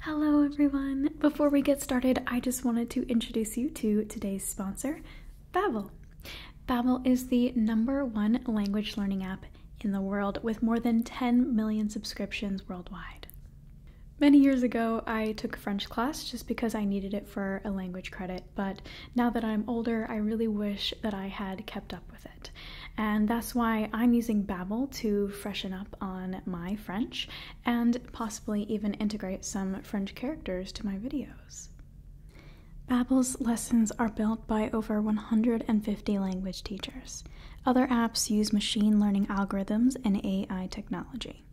Hello, everyone. Before we get started, I just wanted to introduce you to today's sponsor, Babbel. Babbel is the number one language learning app in the world with more than 10 million subscriptions worldwide. Many years ago, I took French class just because I needed it for a language credit, but now that I'm older, I really wish that I had kept up with it. And that's why I'm using Babbel to freshen up on my French and possibly even integrate some French characters to my videos. Babbel's lessons are built by over 150 language teachers. Other apps use machine learning algorithms and AI technology.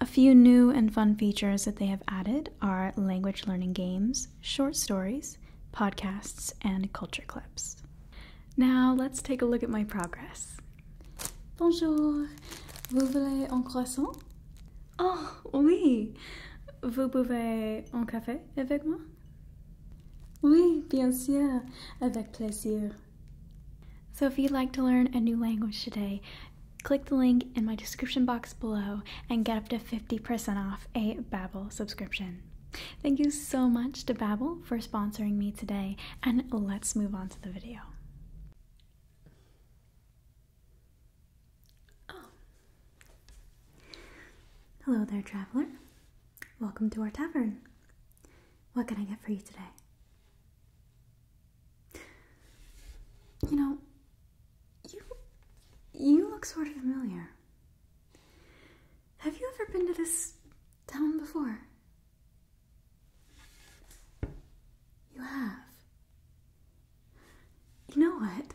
A few new and fun features that they have added are language learning games, short stories, podcasts, and culture clips. Now let's take a look at my progress vous voulez un croissant? Oh oui, vous pouvez un café avec moi? Oui, bien sûr, avec plaisir. So if you'd like to learn a new language today, click the link in my description box below and get up to 50% off a Babbel subscription. Thank you so much to Babbel for sponsoring me today, and let's move on to the video. Oh. Hello there, traveler. Welcome to our tavern. What can I get for you today? You know, you you look sort of familiar. Have you ever been to this town before? You have. You know what?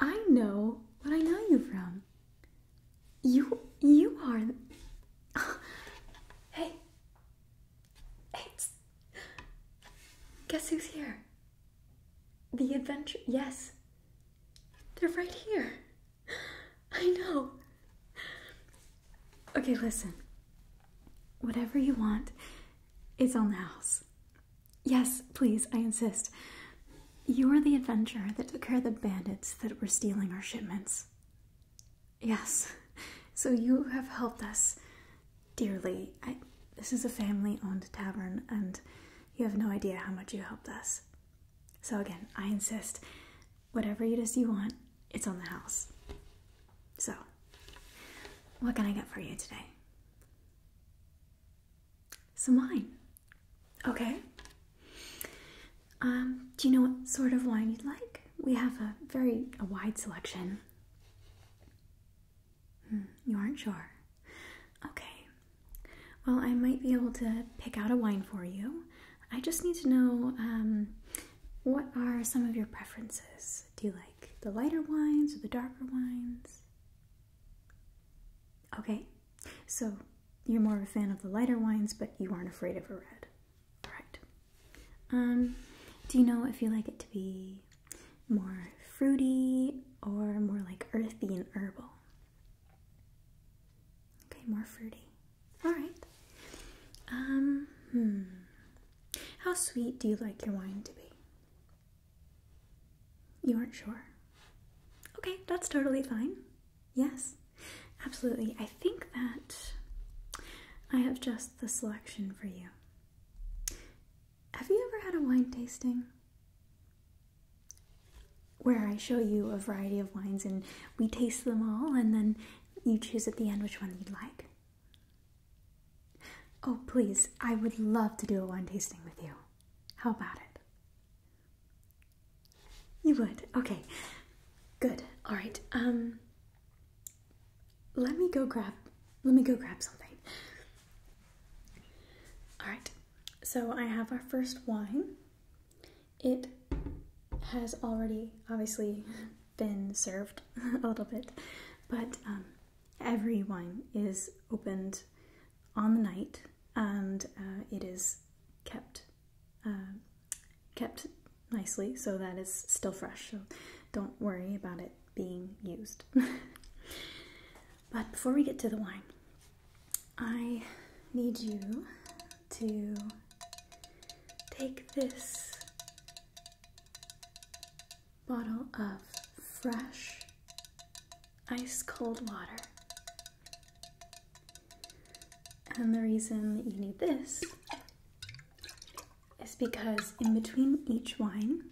I know what I know you from. You you are Hey. Hey. Guess who's here? The adventure. Yes. They're right here. I know. Okay, listen. Whatever you want is on the house. Yes, please, I insist. You're the adventurer that took care of the bandits that were stealing our shipments. Yes, so you have helped us dearly. this is a family owned tavern, and you have no idea how much you helped us. So, again, I insist whatever it is you want, it's on the house. So, what can I get for you today? Some wine. Okay. Um, do you know what sort of wine you'd like? We have a very a wide selection. Hmm, you aren't sure. Okay. Well, I might be able to pick out a wine for you. I just need to know um, what are some of your preferences? Do you like the lighter wines or the darker wines? Okay, so you're more of a fan of the lighter wines, but you aren't afraid of a red. All right. Um, do you know if you like it to be more fruity or more like earthy and herbal? Okay, more fruity. All right. Um, hmm. How sweet do you like your wine to be? You aren't sure? Okay, that's totally fine. Yes, absolutely. I think that I have just the selection for you. Have you ever had a wine tasting? Where I show you a variety of wines and we taste them all, and then you choose at the end which one you'd like. Oh, please, I would love to do a wine tasting with you. How about it? You would. Okay. Good. All right. Um Let me go grab Let me go grab something. All right. So, I have our first wine it has already obviously been served a little bit, but um, every wine is opened on the night and uh, it is kept um, kept nicely so that it's still fresh. So don't worry about it being used. but before we get to the wine, I need you to take this bottle of fresh ice cold water. And the reason that you need this is because in between each wine,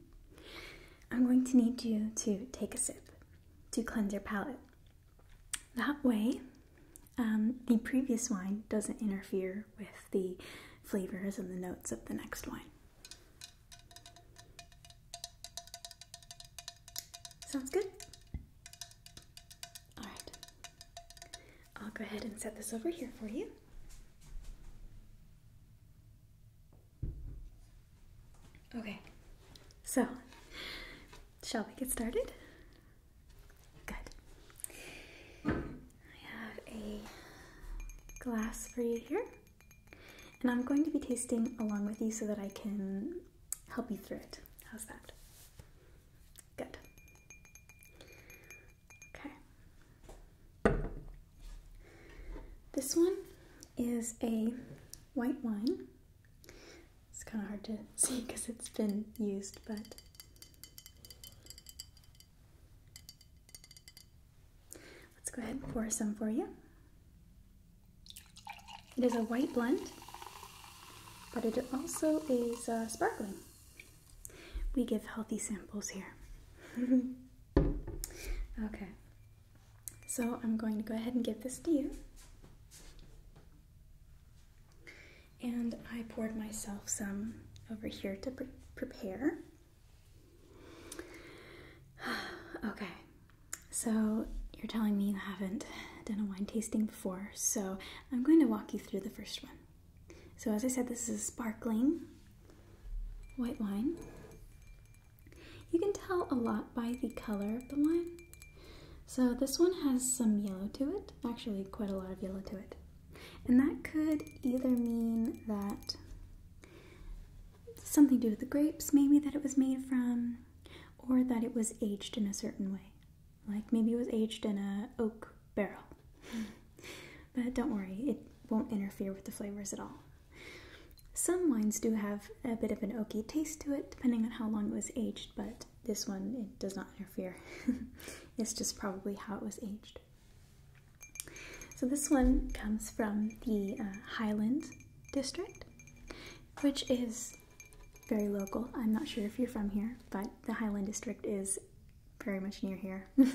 I'm going to need you to take a sip to cleanse your palate. That way, um, the previous wine doesn't interfere with the flavors and the notes of the next wine. Sounds good? Alright, I'll go ahead and set this over here for you. Okay, so shall we get started? Good. I have a glass for you here, and I'm going to be tasting along with you so that I can help you through it. How's that? Good. Okay. This one is a white wine. It's kind of hard to see because it's been used, but Let's go ahead and pour some for you. It is a white blend, but it also is uh, sparkling. We give healthy samples here. okay, so I'm going to go ahead and give this to you. And I poured myself some over here to prepare. okay, so you're telling me you haven't done a wine tasting before, so I'm going to walk you through the first one. So, as I said, this is sparkling white wine. You can tell a lot by the color of the wine. So, this one has some yellow to it, actually, quite a lot of yellow to it. And that could either mean that something to do with the grapes, maybe that it was made from, or that it was aged in a certain way. Like maybe it was aged in a oak barrel. Hmm. but don't worry, it won't interfere with the flavors at all. Some wines do have a bit of an oaky taste to it, depending on how long it was aged, but this one it does not interfere. it's just probably how it was aged. So this one comes from the uh, Highland district, which is very local. I'm not sure if you're from here, but the Highland district is very much near here.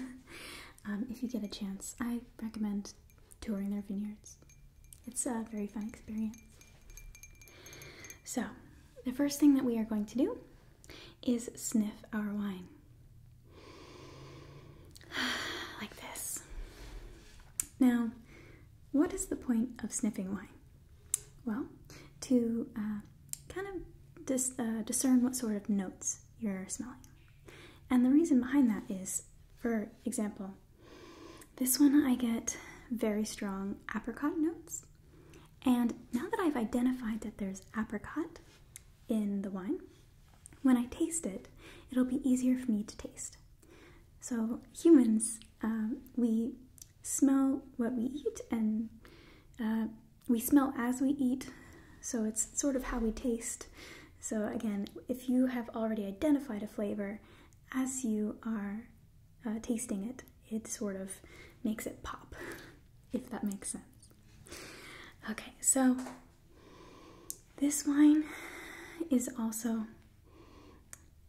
Um, if you get a chance, I recommend touring their vineyards. It's a very fun experience. So, the first thing that we are going to do is sniff our wine. like this. Now, what is the point of sniffing wine? Well, to uh, kind of uh, discern what sort of notes you're smelling. And the reason behind that is, for example, this one I get very strong apricot notes. And now that I've identified that there's apricot in the wine, when I taste it, it'll be easier for me to taste. So, humans, um, we smell what we eat and uh, we smell as we eat, so it's sort of how we taste. So, again, if you have already identified a flavor as you are uh, tasting it, it sort of makes it pop, if that makes sense. Okay, so this wine is also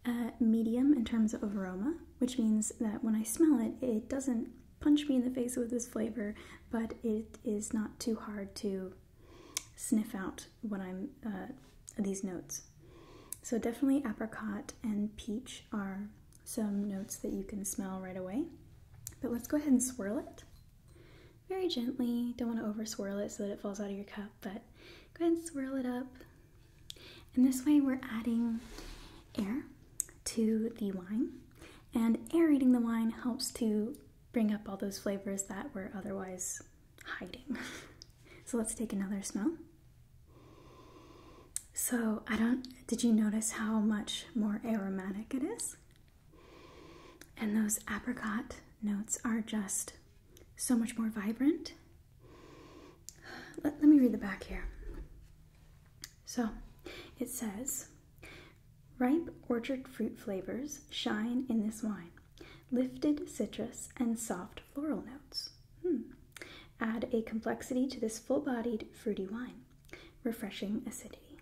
uh, medium in terms of aroma, which means that when I smell it, it doesn't punch me in the face with its flavor, but it is not too hard to sniff out what I'm uh, these notes. So definitely apricot and peach are some notes that you can smell right away. But let's go ahead and swirl it very gently. Don't want to over swirl it so that it falls out of your cup, but go ahead and swirl it up. And this way we're adding air to the wine and aerating the wine helps to bring up all those flavors that were otherwise hiding. so let's take another smell. So, I don't, did you notice how much more aromatic it is? And those apricot notes are just so much more vibrant. Let, me read the back here. So, it says, Ripe orchard fruit flavors shine in this wine. Lifted citrus and soft floral notes. Hmm. Add a complexity to this full bodied, fruity wine refreshing acidity.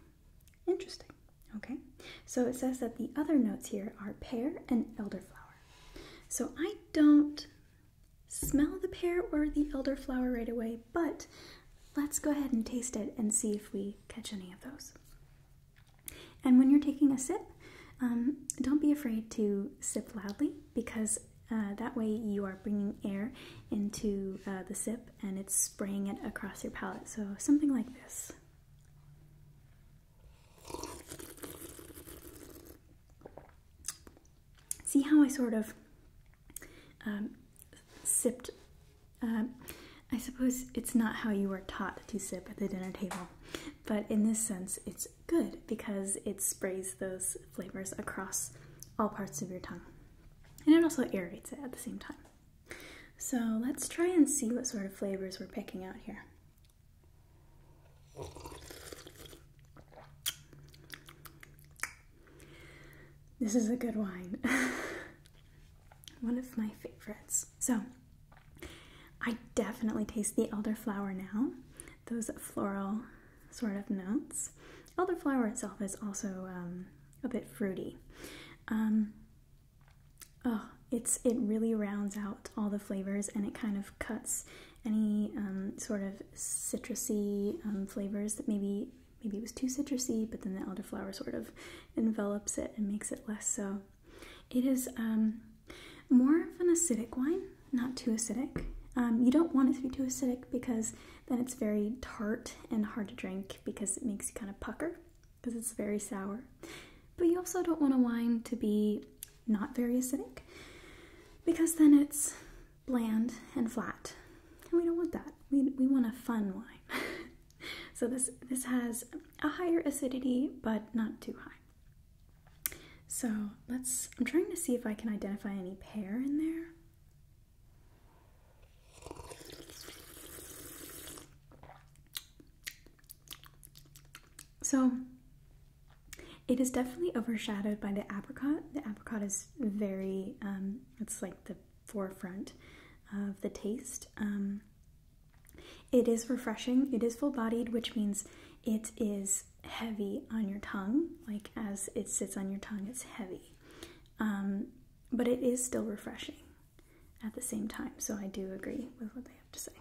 Interesting. Okay, so it says that the other notes here are pear and elderflower. So I don't smell the pear or the elderflower right away, but let's go ahead and taste it and see if we catch any of those. And when you're taking a sip, um, don't be afraid to sip loudly because uh, that way you are bringing air into uh, the sip and it's spraying it across your palate. So something like this. See how I sort of um, sipped. Um, I suppose it's not how you are taught to sip at the dinner table, but in this sense, it's good because it sprays those flavors across all parts of your tongue and it also aerates it at the same time. So let's try and see what sort of flavors we're picking out here. This is a good wine. One of my favorites. So, I definitely taste the elderflower now. Those floral sort of notes. Elderflower itself is also um, a bit fruity. Um, oh, it's it really rounds out all the flavors and it kind of cuts any um, sort of citrusy flavors that maybe maybe it was too citrusy, but then the elderflower sort of envelops it and makes it less so. It is more of an acidic wine, not too acidic. you don't want it to be too acidic because then it's very tart and hard to drink because it makes you kind of pucker because it's very sour. But you also don't want a wine to be not very acidic because then it's bland and flat. And we don't want that. We, we want a fun wine. so this, this has a higher acidity, but not too high. So let's, I'm trying to see if I can identify any pear in there. So it is definitely overshadowed by the apricot. The apricot is very, um, it's like the forefront of the taste. Um, it is refreshing, it is full bodied, which means it is heavy on your tongue. Like as it sits on your tongue, it's heavy. Um, but it is still refreshing at the same time, so I do agree with what they have to say.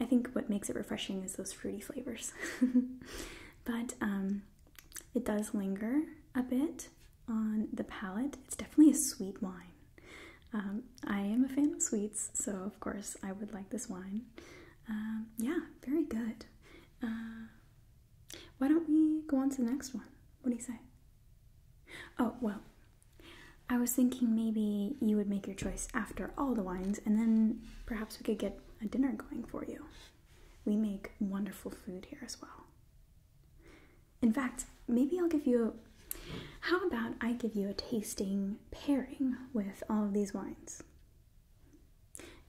I think what makes it refreshing is those fruity flavors. but um, it does linger a bit on the palate. It's definitely a sweet wine. Um, I am a fan of sweets, so of course I would like this wine. yeah, very good. Uh, why don't we go on to the next one? What do you say? Oh, well, I was thinking maybe you would make your choice after all the wines, and then perhaps we could get a dinner going for you. We make wonderful food here as well. In fact, maybe I'll give you a. How about I give you a tasting pairing with all of these wines?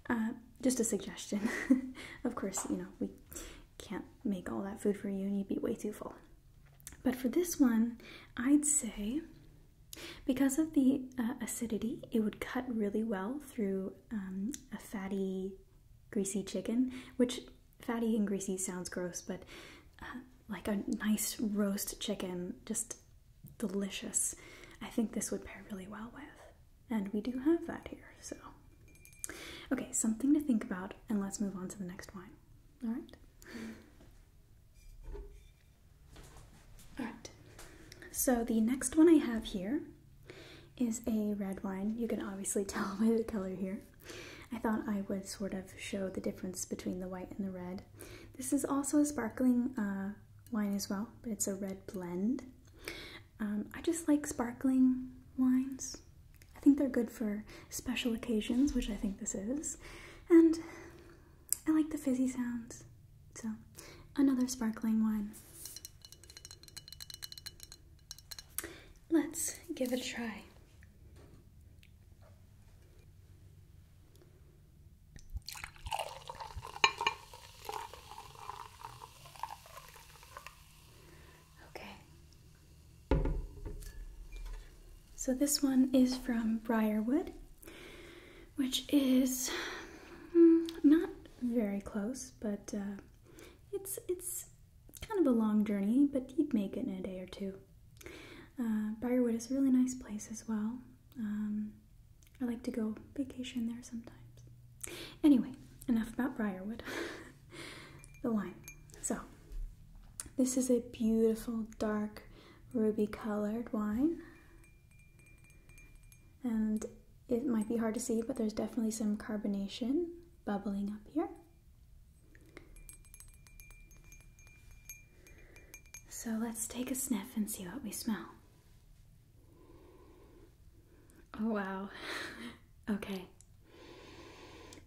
Uh, just a suggestion. of course, you know, we can't make all that food for you and you'd be way too full. But for this one, I'd say because of the uh, acidity, it would cut really well through um, a fatty, greasy chicken, which fatty and greasy sounds gross, but uh, like a nice roast chicken, just delicious. I think this would pair really well with. And we do have that here, so. Okay, something to think about, and let's move on to the next wine. Alright? Alright, so the next one I have here is a red wine. You can obviously tell by the color here. I thought I would sort of show the difference between the white and the red. This is also a sparkling uh, wine as well, but it's a red blend. Um, I just like sparkling wines. I think they're good for special occasions, which I think this is. And I like the fizzy sounds. So, another sparkling wine. Let's give it a try. Okay. So this one is from Briarwood, which is hmm, not very close, but uh, it's it's kind of a long journey, but you'd make it in a day or two. Uh, Briarwood is a really nice place as well. Um, I like to go vacation there sometimes. Anyway, enough about Briarwood. the wine. So, this is a beautiful dark ruby colored wine. And it might be hard to see, but there's definitely some carbonation bubbling up here. So let's take a sniff and see what we smell. Oh, wow. okay.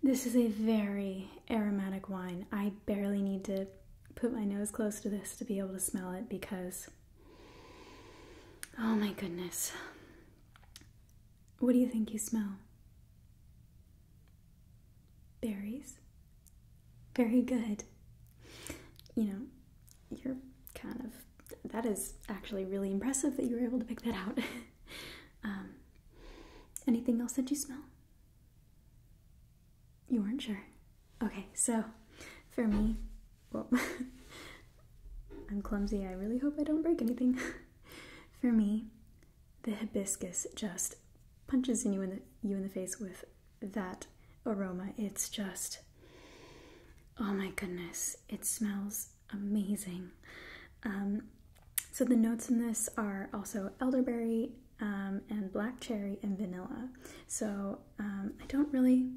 This is a very aromatic wine. I barely need to put my nose close to this to be able to smell it because, oh my goodness. What do you think you smell? Berries? Very good. You know, you're kind of that is actually really impressive that you were able to pick that out. um, anything else that you smell? You weren't sure. Okay, so for me, well, I'm clumsy. I really hope I don't break anything. for me, the hibiscus just punches you in the you in the face with that aroma. It's just oh my goodness. It smells amazing. Um, so the notes in this are also elderberry um, and black cherry and vanilla. So um, I don't really,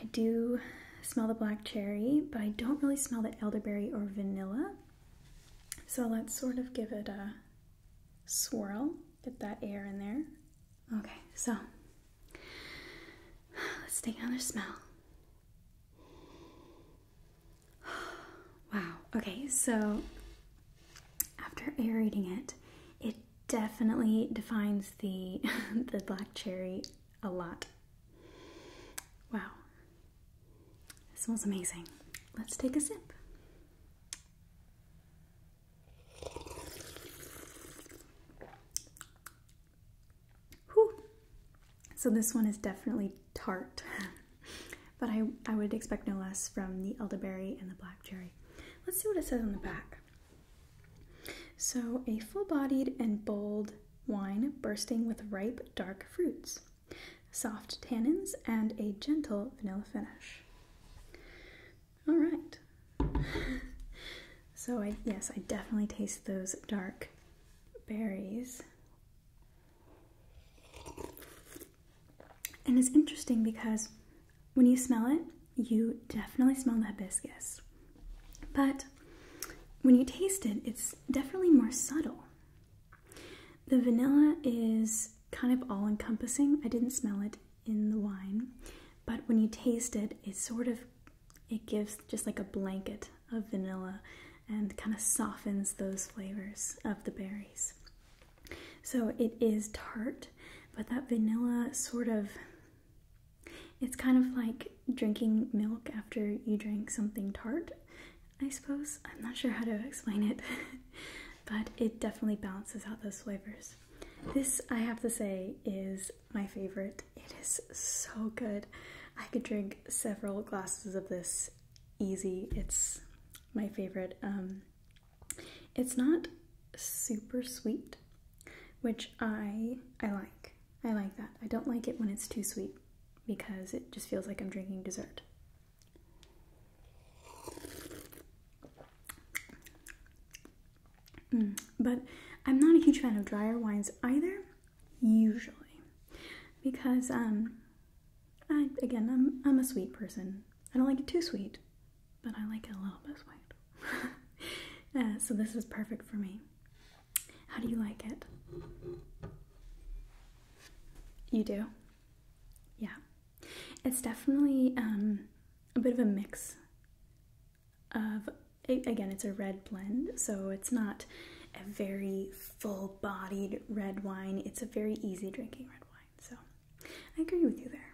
I do smell the black cherry, but I don't really smell the elderberry or vanilla. So let's sort of give it a swirl, get that air in there. Okay, so Let's take another smell. Wow. Okay, so after aerating it, it definitely defines the the black cherry a lot. Wow. It smells amazing. Let's take a sip. Whew. So this one is definitely tart, but I, I would expect no less from the elderberry and the black cherry. Let's see what it says on the back. So, a full bodied and bold wine bursting with ripe dark fruits, soft tannins, and a gentle vanilla finish. All right, so I yes, I definitely taste those dark berries. And it's interesting because when you smell it, you definitely smell the hibiscus. But when you taste it, it's definitely more subtle. The vanilla is kind of all encompassing. I didn't smell it in the wine, but when you taste it, it sort of it gives just like a blanket of vanilla and kind of softens those flavors of the berries. So it is tart, but that vanilla sort of, it's kind of like drinking milk after you drink something tart, I suppose. I'm not sure how to explain it, but it definitely balances out those flavors. This, I have to say, is my favorite. It is so good. I could drink several glasses of this easy. It's my favorite. Um, it's not super sweet, which I I like. I like that. I don't like it when it's too sweet because it just feels like I'm drinking dessert. Mm. but I'm not a huge fan of drier wines either, usually, because um, again I'm a sweet person. I don't like it too sweet, but I like it a little bit sweet. Uh, so this is perfect for me. How do you like it? You do? Yeah. It's definitely um, a bit of a mix of again, it's a red blend, so it's not a very full bodied red wine. It's a very easy drinking red wine. So I agree with you there.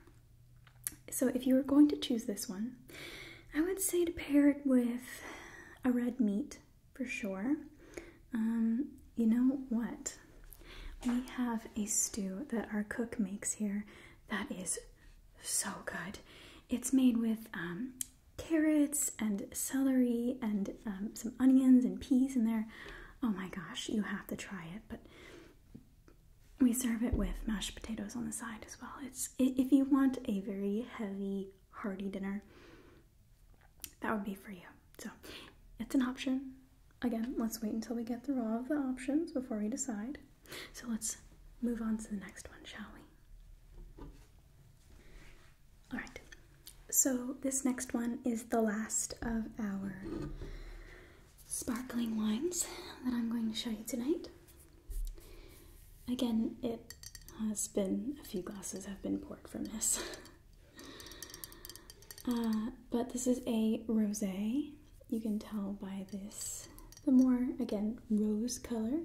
So if you were going to choose this one, I would say to pair it with a red meat for sure. Um, you know what? We have a stew that our cook makes here that is so good. It's made with um, carrots and celery and um, some onions and peas in there. Oh my gosh, you have to try it. But we serve it with mashed potatoes on the side as well. It's if you want a very heavy, hearty dinner, that would be for you. So it's an option. Again, let's wait until we get through all of the options before we decide. So let's move on to the next one, shall we? All right. So this next one is the last of our sparkling wines that I'm going to show you tonight. Again, it has been a few glasses have been poured from this. Uh, but this is a rosé. You can tell by this, the more, again, rose color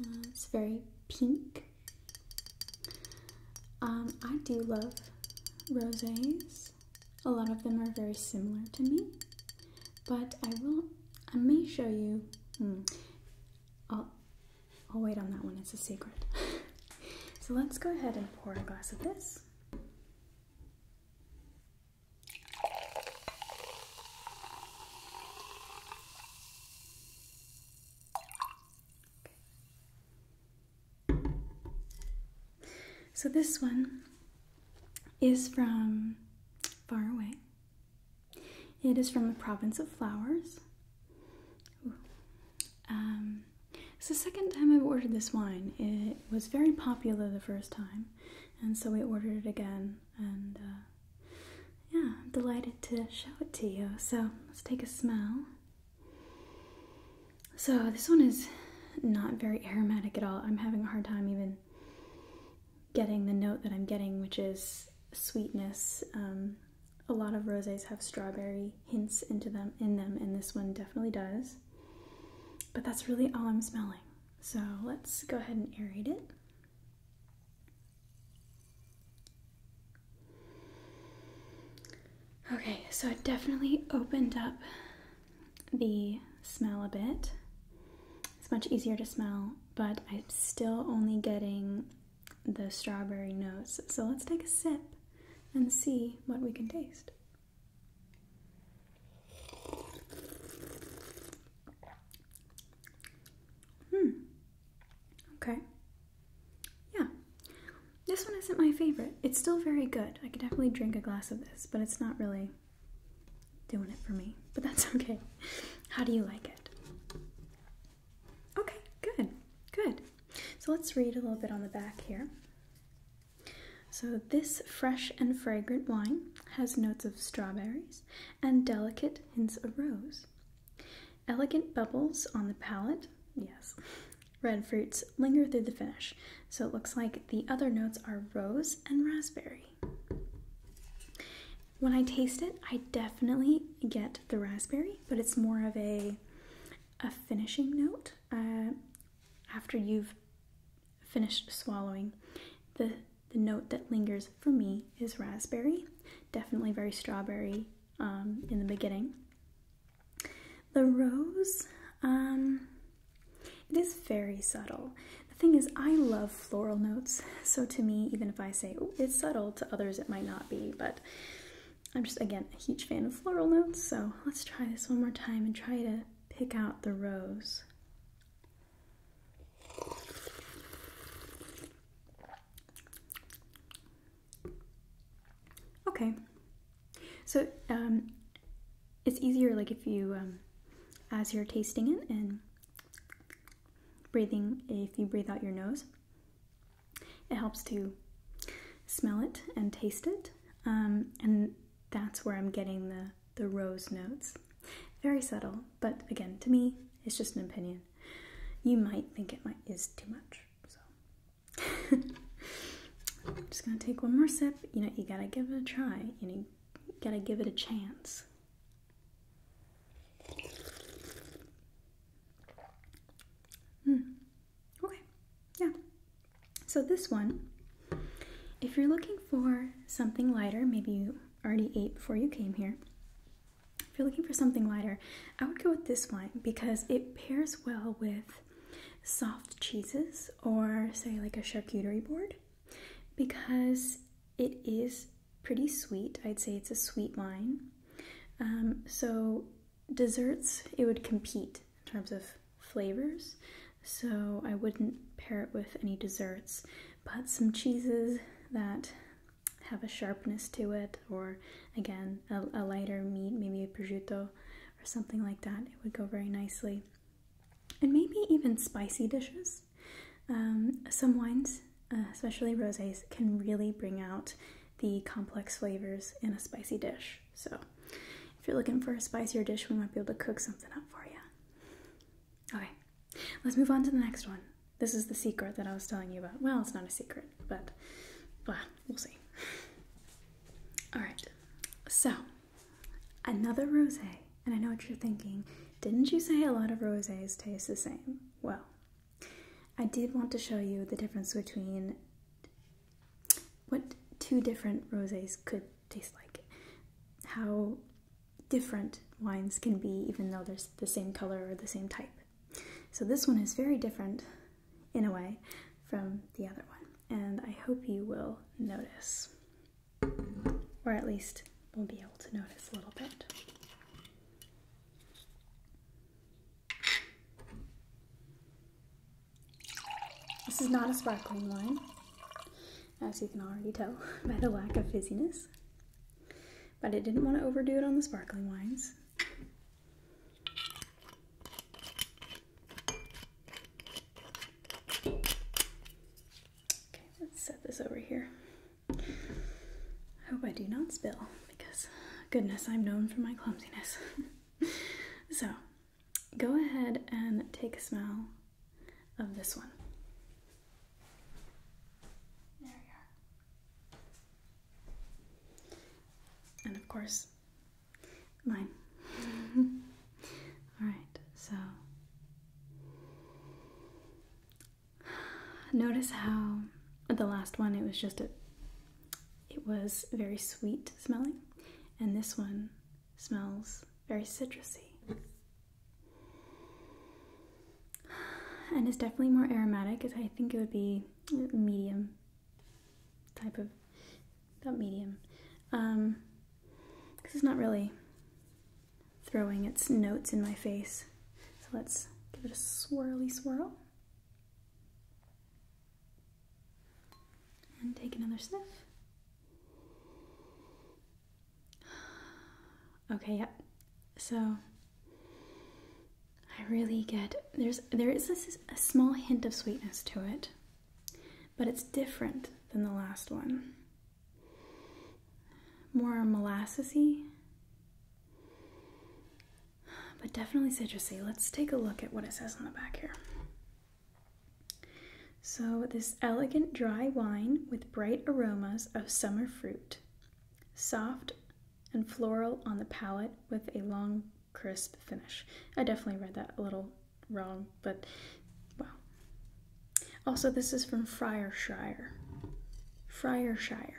uh, it's very pink. Um, I do love rosés. A lot of them are very similar to me, but I will. I may show you. Hmm, I'll. I'll wait on that one. It's a secret. so let's go ahead and pour a glass of this. So this one is from far away. It is from the province of flowers. Um, it's the second time I've ordered this wine. It was very popular the first time, and so we ordered it again and uh, yeah, I'm delighted to show it to you. So let's take a smell. So this one is not very aromatic at all. I'm having a hard time even getting the note that I'm getting, which is sweetness. Um, a lot of rosés have strawberry hints into them in them, and this one definitely does. But that's really all I'm smelling. So let's go ahead and aerate it. Okay, so it definitely opened up the smell a bit. It's much easier to smell, but I'm still only getting the strawberry notes. So let's take a sip and see what we can taste. Hmm. Okay. Yeah. This one isn't my favorite. It's still very good. I could definitely drink a glass of this, but it's not really doing it for me. But that's okay. How do you like it? Okay, good. Good. So let's read a little bit on the back here. So, this fresh and fragrant wine has notes of strawberries and delicate Hints of rose, Elegant bubbles on the palate. yes. Red fruits linger through the finish, so it looks like the other notes are rose and raspberry. When I taste it, I definitely get the raspberry, but it's more of a a finishing note uh, after you've finished swallowing. The the note that lingers for me is raspberry, definitely very strawberry um, in the beginning. The rose, um, it is very subtle. The thing is, I love floral notes, so to me, even if I say oh, it's subtle, to others it might not be, but I'm just, again, a huge fan of floral notes, so let's try this one more time and try to pick out the rose. Okay, so um, it's easier like if you, um, as you're tasting it and breathing, if you breathe out your nose, it helps to smell it and taste it. Um, and that's where I'm getting the, the rose notes. Very subtle, but again, to me, it's just an opinion. You might think it might is too much, so just gonna take one more sip. You know, you gotta give it a try. You gotta give it a chance. Hmm. Okay. Yeah. So this one, if you're looking for something lighter, maybe you already ate before you came here. If you're looking for something lighter, I would go with this wine because it pairs well with soft cheeses or, say, like a charcuterie board because it is pretty sweet. I'd say it's a sweet wine. Um, so, desserts, it would compete in terms of flavors. So, I wouldn't pair it with any desserts, but some cheeses that have a sharpness to it, or again, a, lighter meat, maybe a prosciutto or something like that. It would go very nicely. And maybe even spicy dishes. Um, some wines, uh, especially rosés, can really bring out the complex flavors in a spicy dish. So, if you're looking for a spicier dish, we might be able to cook something up for you. Okay, let's move on to the next one. This is the secret that I was telling you about. Well, it's not a secret, but well, we'll see. All right, so another rose. And I know what you're thinking. Didn't you say a lot of roses taste the same? Well, I did want to show you the difference between what two different roses could taste like. How different wines can be, even though they're the same color or the same type. So this one is very different, in a way, from the other one, and I hope you will notice. Or at least will be able to notice a little bit. This is not a sparkling wine, as you can already tell by the lack of fizziness but I didn't want to overdo it on the sparkling wines. Okay, let's set this over here. I hope I do not spill because, goodness, I'm known for my clumsiness. so, go ahead and take a smell of this one. And of course, mine. Alright, so notice how the last one it was just a it was very sweet smelling and this one smells very citrusy and it's definitely more aromatic. As I think it would be medium type of not medium, um, because it's not really throwing its notes in my face. So let's give it a swirly swirl. And take another sniff. Okay, yep. So I really get there's there is a, a small hint of sweetness to it, but it's different than the last one. More molassesy, but definitely citrusy. Let's take a look at what it says on the back here. So, this elegant dry wine with bright aromas of summer fruit Soft and floral on the palette with a long, crisp finish. I definitely read that a little wrong, but well. Also, this is from Friarshire. Friarshire.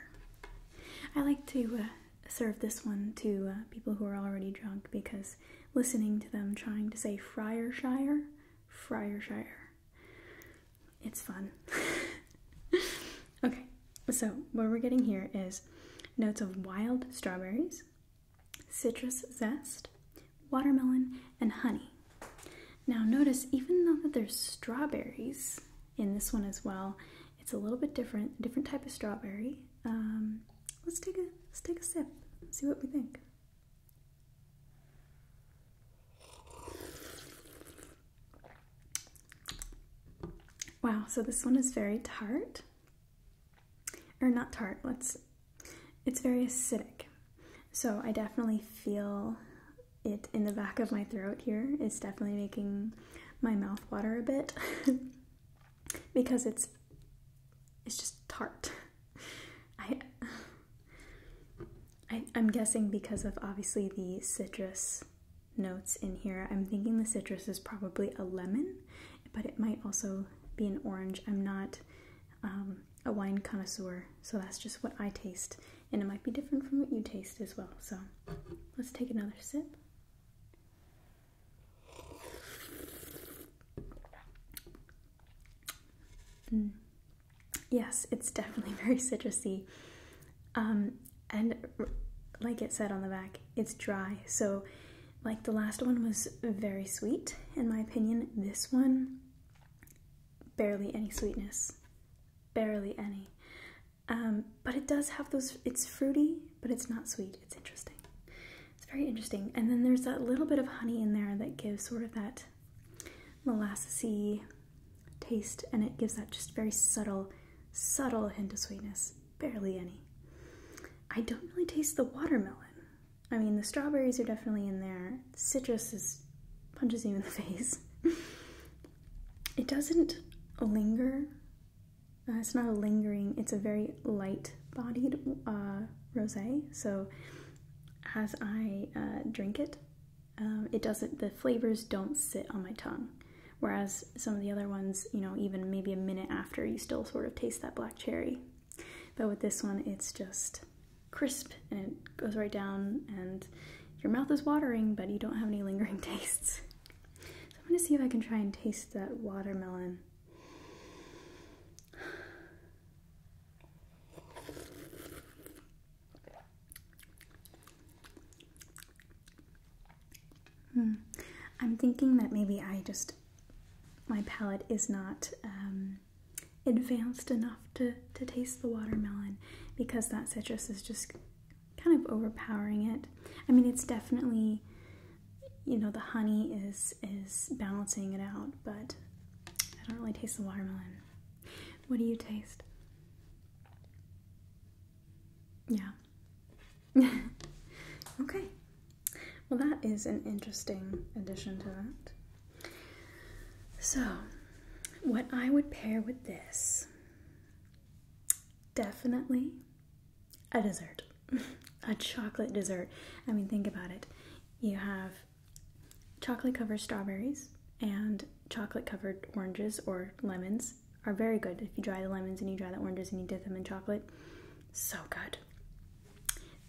I like to uh, serve this one to uh, people who are already drunk because listening to them trying to say Friarshire, Friarshire it's fun. okay, so what we're getting here is notes of wild strawberries, citrus zest, watermelon, and honey. Now notice, even though that there's strawberries in this one as well, it's a little bit different, different type of strawberry. Um, let's take a let's take a sip, see what we think. Wow, so this one is very tart. Or not tart, let's, it's very acidic. So I definitely feel it in the back of my throat here. It's definitely making my mouth water a bit because it's, it's just tart. I, I, am guessing because of obviously the citrus notes in here. I'm thinking the citrus is probably a lemon, but it might also be an orange. I'm not um, a wine connoisseur, so that's just what I taste. And it might be different from what you taste as well. So let's take another sip. Mm, yes, it's definitely very citrusy. Um, and like it said on the back, it's dry. So, like the last one was very sweet, in my opinion. This one, barely any sweetness, barely any. Um, but it does have those, it's fruity, but it's not sweet. It's interesting. It's very interesting. And then there's that little bit of honey in there that gives sort of that molassesy taste, and it gives that just very subtle, subtle hint of sweetness. Barely any. I don't really taste the watermelon. I mean, the strawberries are definitely in there. The citrus punches you in the face. it doesn't linger. Uh, it's not a lingering. It's a very light-bodied uh, rosé. So, as I uh, drink it, um, it doesn't, the flavors don't sit on my tongue. Whereas some of the other ones, you know, even maybe a minute after, you still sort of taste that black cherry. But with this one, it's just crisp and it goes right down, and your mouth is watering, but you don't have any lingering tastes. So I'm gonna see if I can try and taste that watermelon. Hmm. I'm thinking that maybe I just, my palate is not um, advanced enough to, to taste the watermelon because that citrus is just kind of overpowering it. I mean, it's definitely, you know, the honey is, is balancing it out, but I don't really taste the watermelon. What do you taste? Yeah. okay. Well, that is an interesting addition to that. So, what I would pair with this definitely a dessert, a chocolate dessert. I mean, think about it. You have chocolate covered strawberries, and chocolate covered oranges or lemons are very good. If you dry the lemons and you dry the oranges and you dip them in chocolate, so good.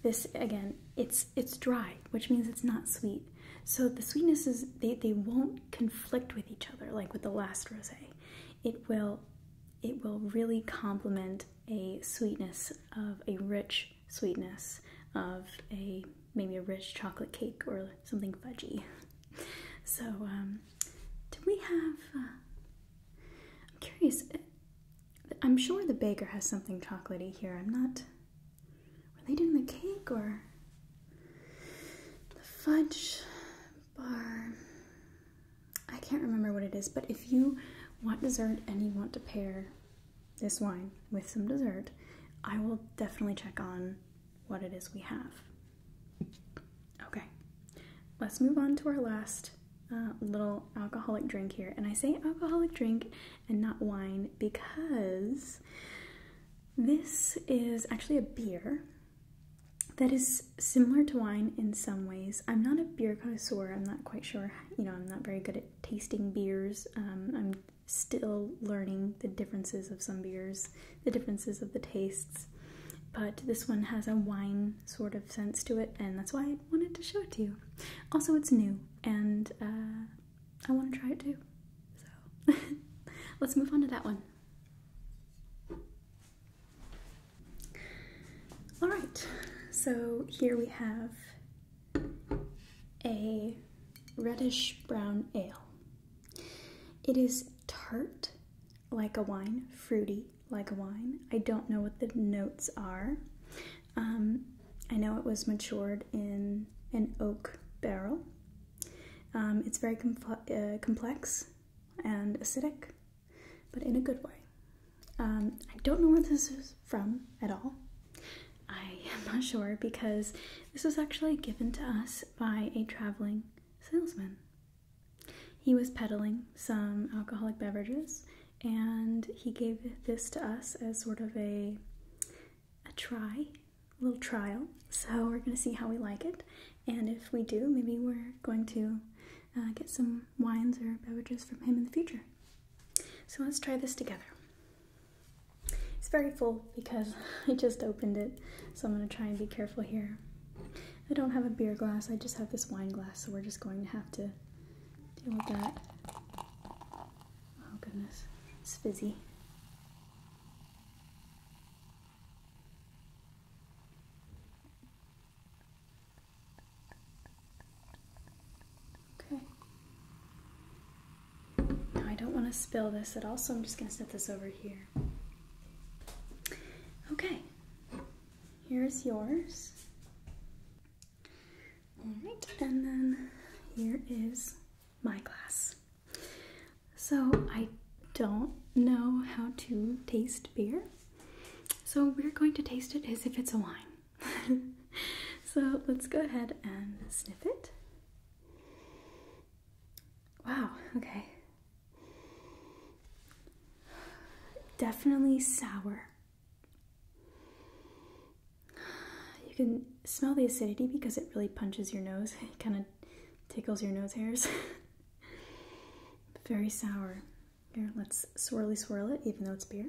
This again, it's it's dry, which means it's not sweet. So the sweetnesses they, they won't conflict with each other like with the last rosé. It will it will really complement a sweetness of a rich sweetness of a maybe a rich chocolate cake or something fudgy. So, um, do we have? Uh, I'm curious. I'm sure the baker has something chocolatey here. I'm not. Were they doing the cake or the fudge bar? I can't remember what it is, but if you want dessert and you want to pair this wine with some dessert, I will definitely check on what it is we have. Okay, let's move on to our last uh, little alcoholic drink here. And I say alcoholic drink and not wine because this is actually a beer that is similar to wine in some ways. I'm not a beer connoisseur. I'm not quite sure. You know, I'm not very good at tasting beers. Um, I'm still learning the differences of some beers, the differences of the tastes. But this one has a wine sort of sense to it, and that's why I wanted to show it to you. Also, it's new, and uh, I want to try it too. So let's move on to that one. All right, so here we have a reddish brown ale. It is tart, like a wine, fruity, like a wine. I don't know what the notes are. Um, I know it was matured in an oak barrel. Um, it's very uh, complex and acidic, but in a good way. Um, I don't know where this is from at all. I am not sure because this was actually given to us by a traveling salesman. He was peddling some alcoholic beverages and he gave this to us as sort of a a try, a little trial. So we're going to see how we like it and if we do, maybe we're going to uh, get some wines or beverages from him in the future. So let's try this together. It's very full because I just opened it, so I'm going to try and be careful here. I don't have a beer glass, I just have this wine glass, so we're just going to have to deal with that. Oh goodness, it's fizzy. Okay. Now I don't want to spill this at all, so I'm just going to set this over here. Okay, here's yours. All right, and then here is my glass. So I don't know how to taste beer, so we're going to taste it as if it's a wine. so let's go ahead and sniff it. Wow, okay. Definitely sour. You can smell the acidity because it really punches your nose. It kind of tickles your nose hairs. Very sour. Here, let's swirly swirl it, even though it's beer.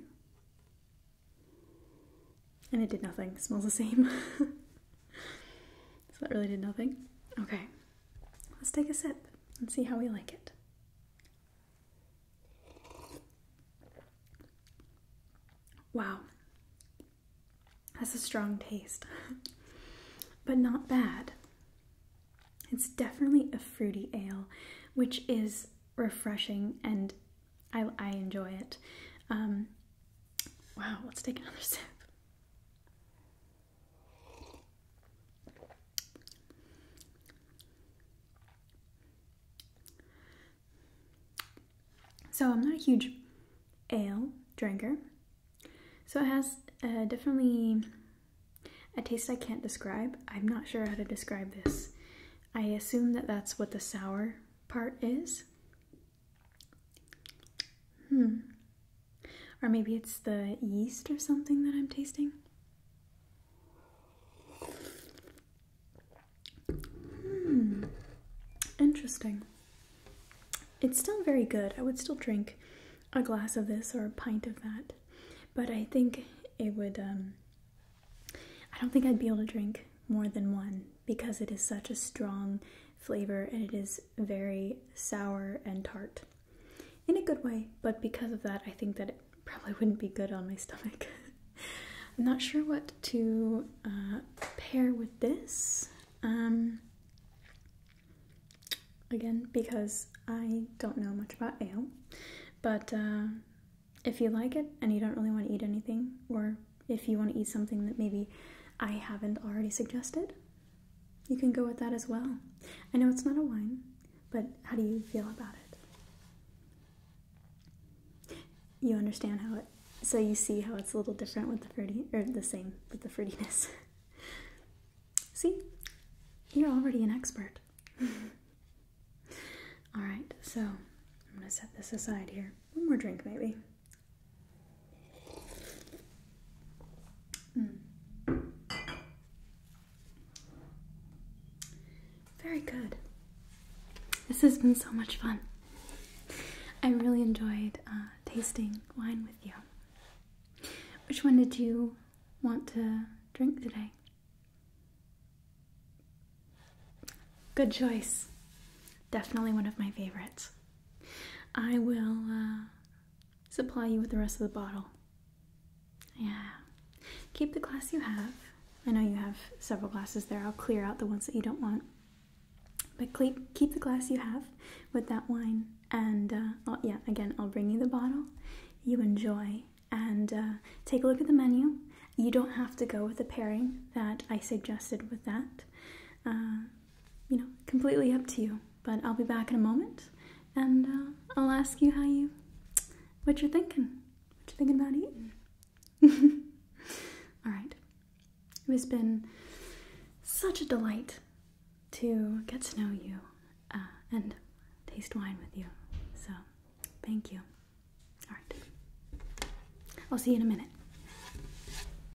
And it did nothing. smells the same. so that really did nothing. Okay, let's take a sip and see how we like it. Wow, that's a strong taste, but not bad. It's definitely a fruity ale, which is refreshing and I, enjoy it. Um, wow, let's take another sip. So I'm not a huge ale drinker. So it has uh, definitely a taste I can't describe. I'm not sure how to describe this. I assume that that's what the sour part is. Hmm. Or maybe it's the yeast or something that I'm tasting. Hmm. Interesting. It's still very good. I would still drink a glass of this or a pint of that. But I think it would, um, I don't think I'd be able to drink more than one because it is such a strong flavor and it is very sour and tart in a good way, but because of that, I think that it probably wouldn't be good on my stomach. I'm not sure what to uh, pair with this. Um, again, because I don't know much about ale, but uh, if you like it and you don't really want to eat anything or if you want to eat something that maybe I haven't already suggested, you can go with that as well. I know it's not a wine, but how do you feel about it? You understand how it, so you see how it's a little different with the fruity, or the same with the fruitiness. see, you're already an expert. All right, so I'm gonna set this aside here. One more drink, maybe. Hmm. Very good. This has been so much fun. I really enjoyed uh, tasting wine with you. Which one did you want to drink today? Good choice. Definitely one of my favorites. I will uh, supply you with the rest of the bottle. Yeah. Keep the glass you have. I know you have several glasses there. I'll clear out the ones that you don't want. But keep, keep the glass you have with that wine. And uh, yeah, again, I'll bring you the bottle. You enjoy. And uh, take a look at the menu. You don't have to go with the pairing that I suggested with that you know, completely up to you. But I'll be back in a moment and uh, I'll ask you how you, what you're thinking, what you're thinking about eating. All right. It has been such a delight to get to know you uh, and taste wine with you. So, thank you. All right. I'll see you in a minute.